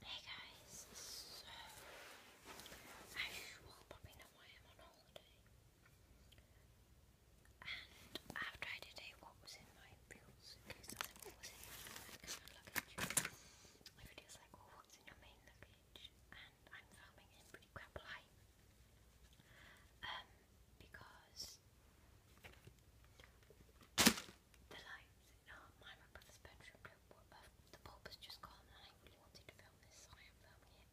Hey guys, so as you all probably know I am on holiday and I've what was in my suitcase what was in my luggage. My video's like, well what's in your main luggage? And I'm filming in pretty crap um, because the lights in my brother's bedroom, uh, the bulb has just gone and I really wanted to film this, so I am filming it.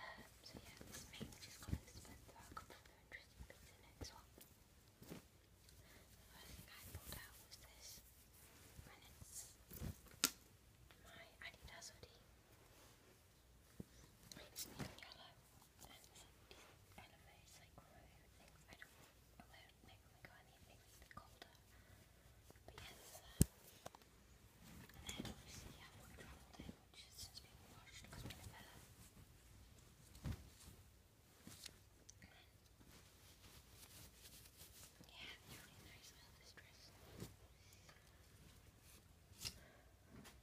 Um, so yeah, this main just got expensive, there are a couple of The first thing I pulled out was this, and my Adidas it's yellow and animes like one of my favourite things. I don't I won't make my go it's colder. But yeah, And then obviously you have my travel day, which has since been washed because we're in Yeah, really nice. I dress.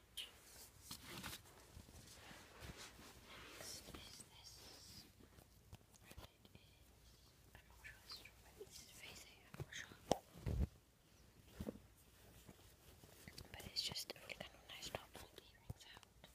Next is this rabbit it's rabbit's facing, I'm not sure. But it's just really kind of nice top like earrings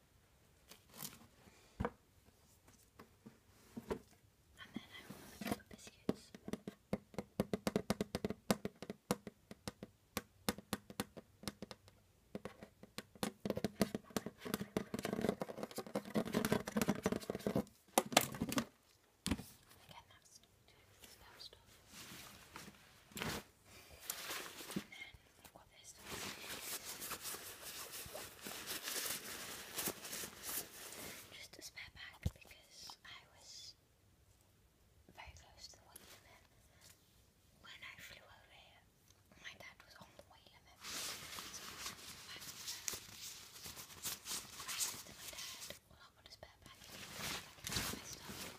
And then I will make the biscuits. Again, that's, that's stuff. And then I've Just a spare bag because I was very close to the limit. When I flew over my dad was on the limit. I went to my dad, well, I've a spare bag. I can my stuff.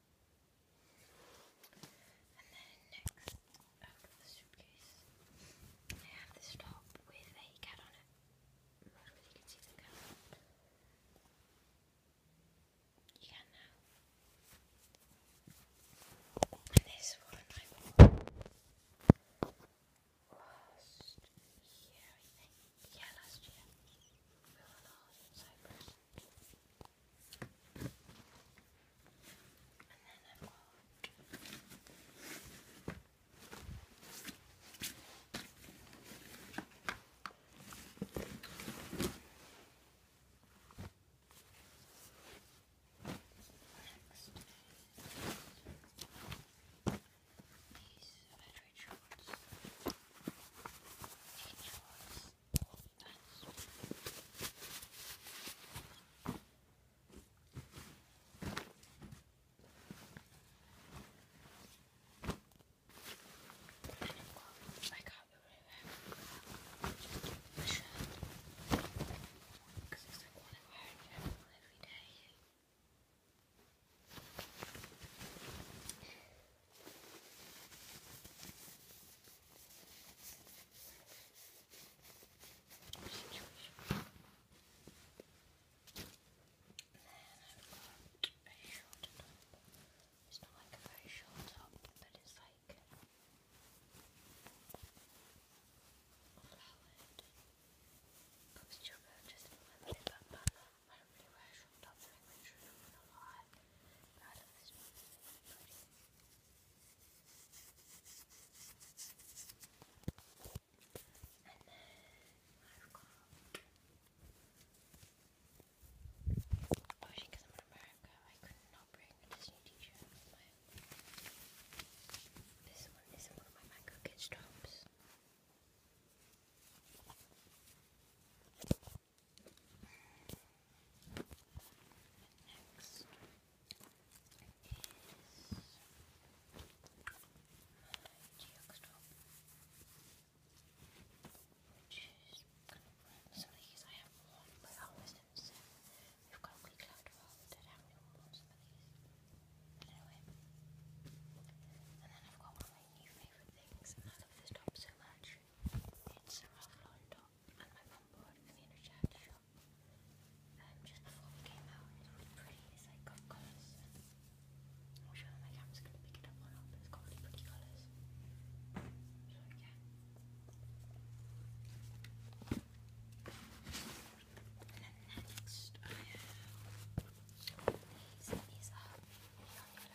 And then next I have this top with a cat on it. you can see the cat. You can now. And this one last year, Yeah, last year. We were in Cyprus. And then I've got next these battery shorts. Eight shorts. And of course, I can't be really wearing just the shirt because it's like what I'm wearing every day a short top. It's not like a very short top, but it's like flowered. Comes to your purchase from my little banana but i really worried from top language should have a lot And then I've got Obviously because I'm in America I could not bring a Disney t-shirt This one is one of my micro kids tops. Next is my geoxtrop, which is Some of these I have one, but I always didn't say. We've got a week left of all that I haven't even some of these. But anyway. And then I've got one of my new favourite things, and I love this top so too much. just before we came out, it's really pretty. It's like got colours. I'm sure my camera's going to pick it up or but it's got really pretty colours. So yeah. And then next, I have these.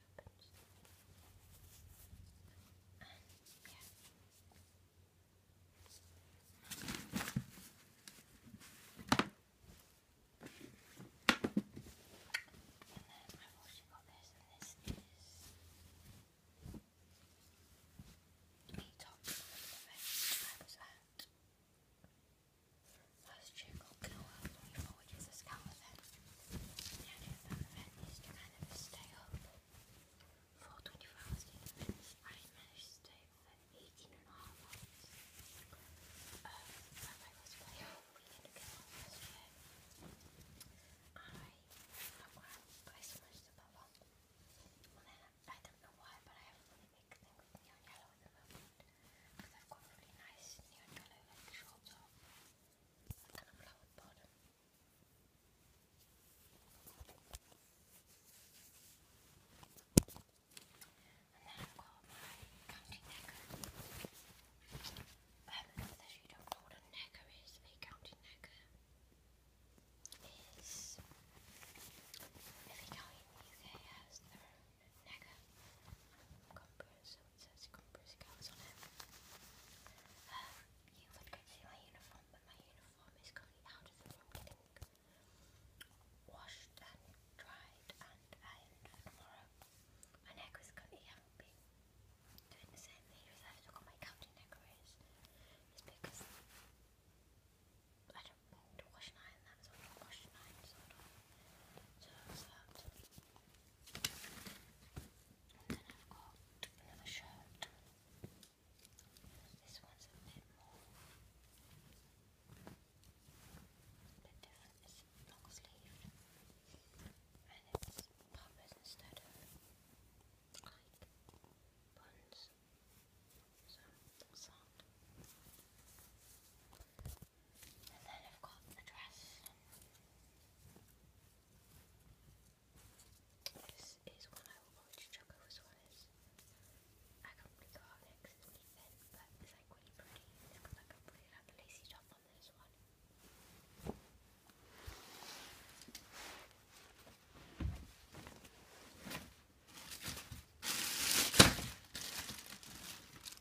sometimes. And yeah. And then I've also got this, and this is a top event I was at last year called which is a to stay up. For 24 hours in the I managed to stay up for 18 and a half hours. Um, I don't know why, but I have a really big thing with neon yellow at the moment. Because I've got really nice neon yellow like shorts on and then I've got my county necker. Um, for you don't know what a necker is, a county necker is every county in the UK has their own necker. i it says Cumbria Scouts on it. Um, you would go see my uniform, but my uniform is currently out of the room getting washed and dried and ironed tomorrow. My neck is currently out being doing the same. The reason I've still got my captain neck raised because I don't wash an iron that, so I don't wash an iron, so So, so, so. And then I've got another shirt. This one's a bit more. A bit different. It's long sleeved. And it's poppers instead of like buns. So that's and then I've got the dress. This is one I will probably just chuck over I can't really go out next, it's but it's like really pretty. It's got like a pretty lacy top on this one.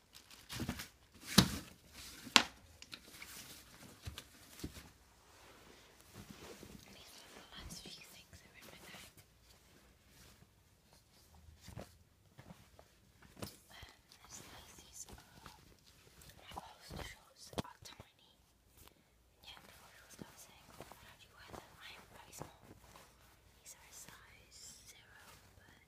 And these are few things are in my bag. my poster are tiny. Yeah, the photos I was saying, how you wear them? I am very small. These are size zero, but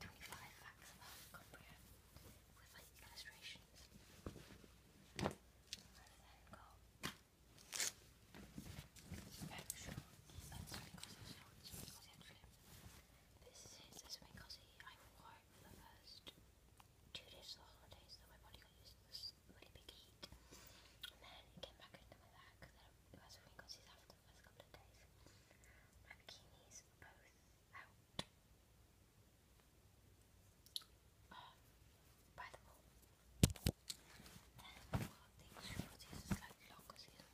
25 facts about comprehend with illustrations. And then got very short, and This is it, this I wore it for the first two days of the holidays, so my body got used to this really big heat. And then it came back into my back, then it was because after the last couple of days. My bikinis are both out oh, by the pool. these shorties are slightly longer, these like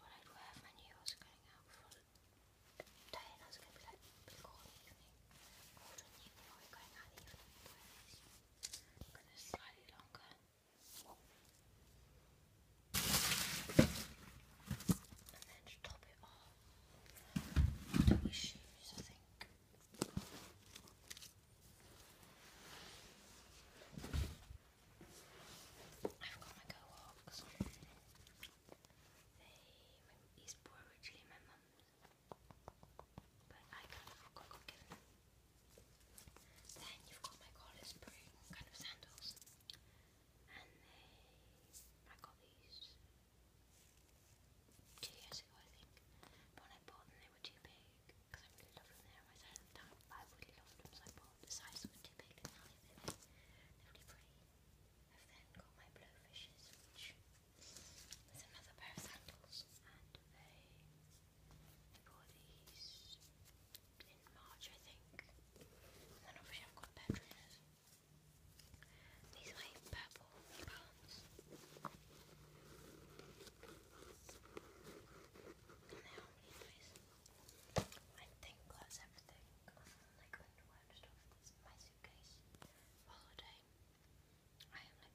what I'd wear if I knew going out for a day I was going to be like, before the evening, going out in the evening, wear these. Because longer. And do my shoes, I think. I've got my go walks. They is originally my mum's. But I kind of forgot then you've got my Collar Spring kind of sandals. And I got these two years ago, I think. when I bought them, they were too big because I really loved them. They were my size time. I really loved them, so I bought the size was too big, and now they're they're really pretty. I've then got my Blowfishes, which is another pair of sandals, bought these in March, I think. And then obviously I've got trainers. These are my purple New And they are really nice. I think that's everything like underwear and stuff that's in my suitcase holiday. I am like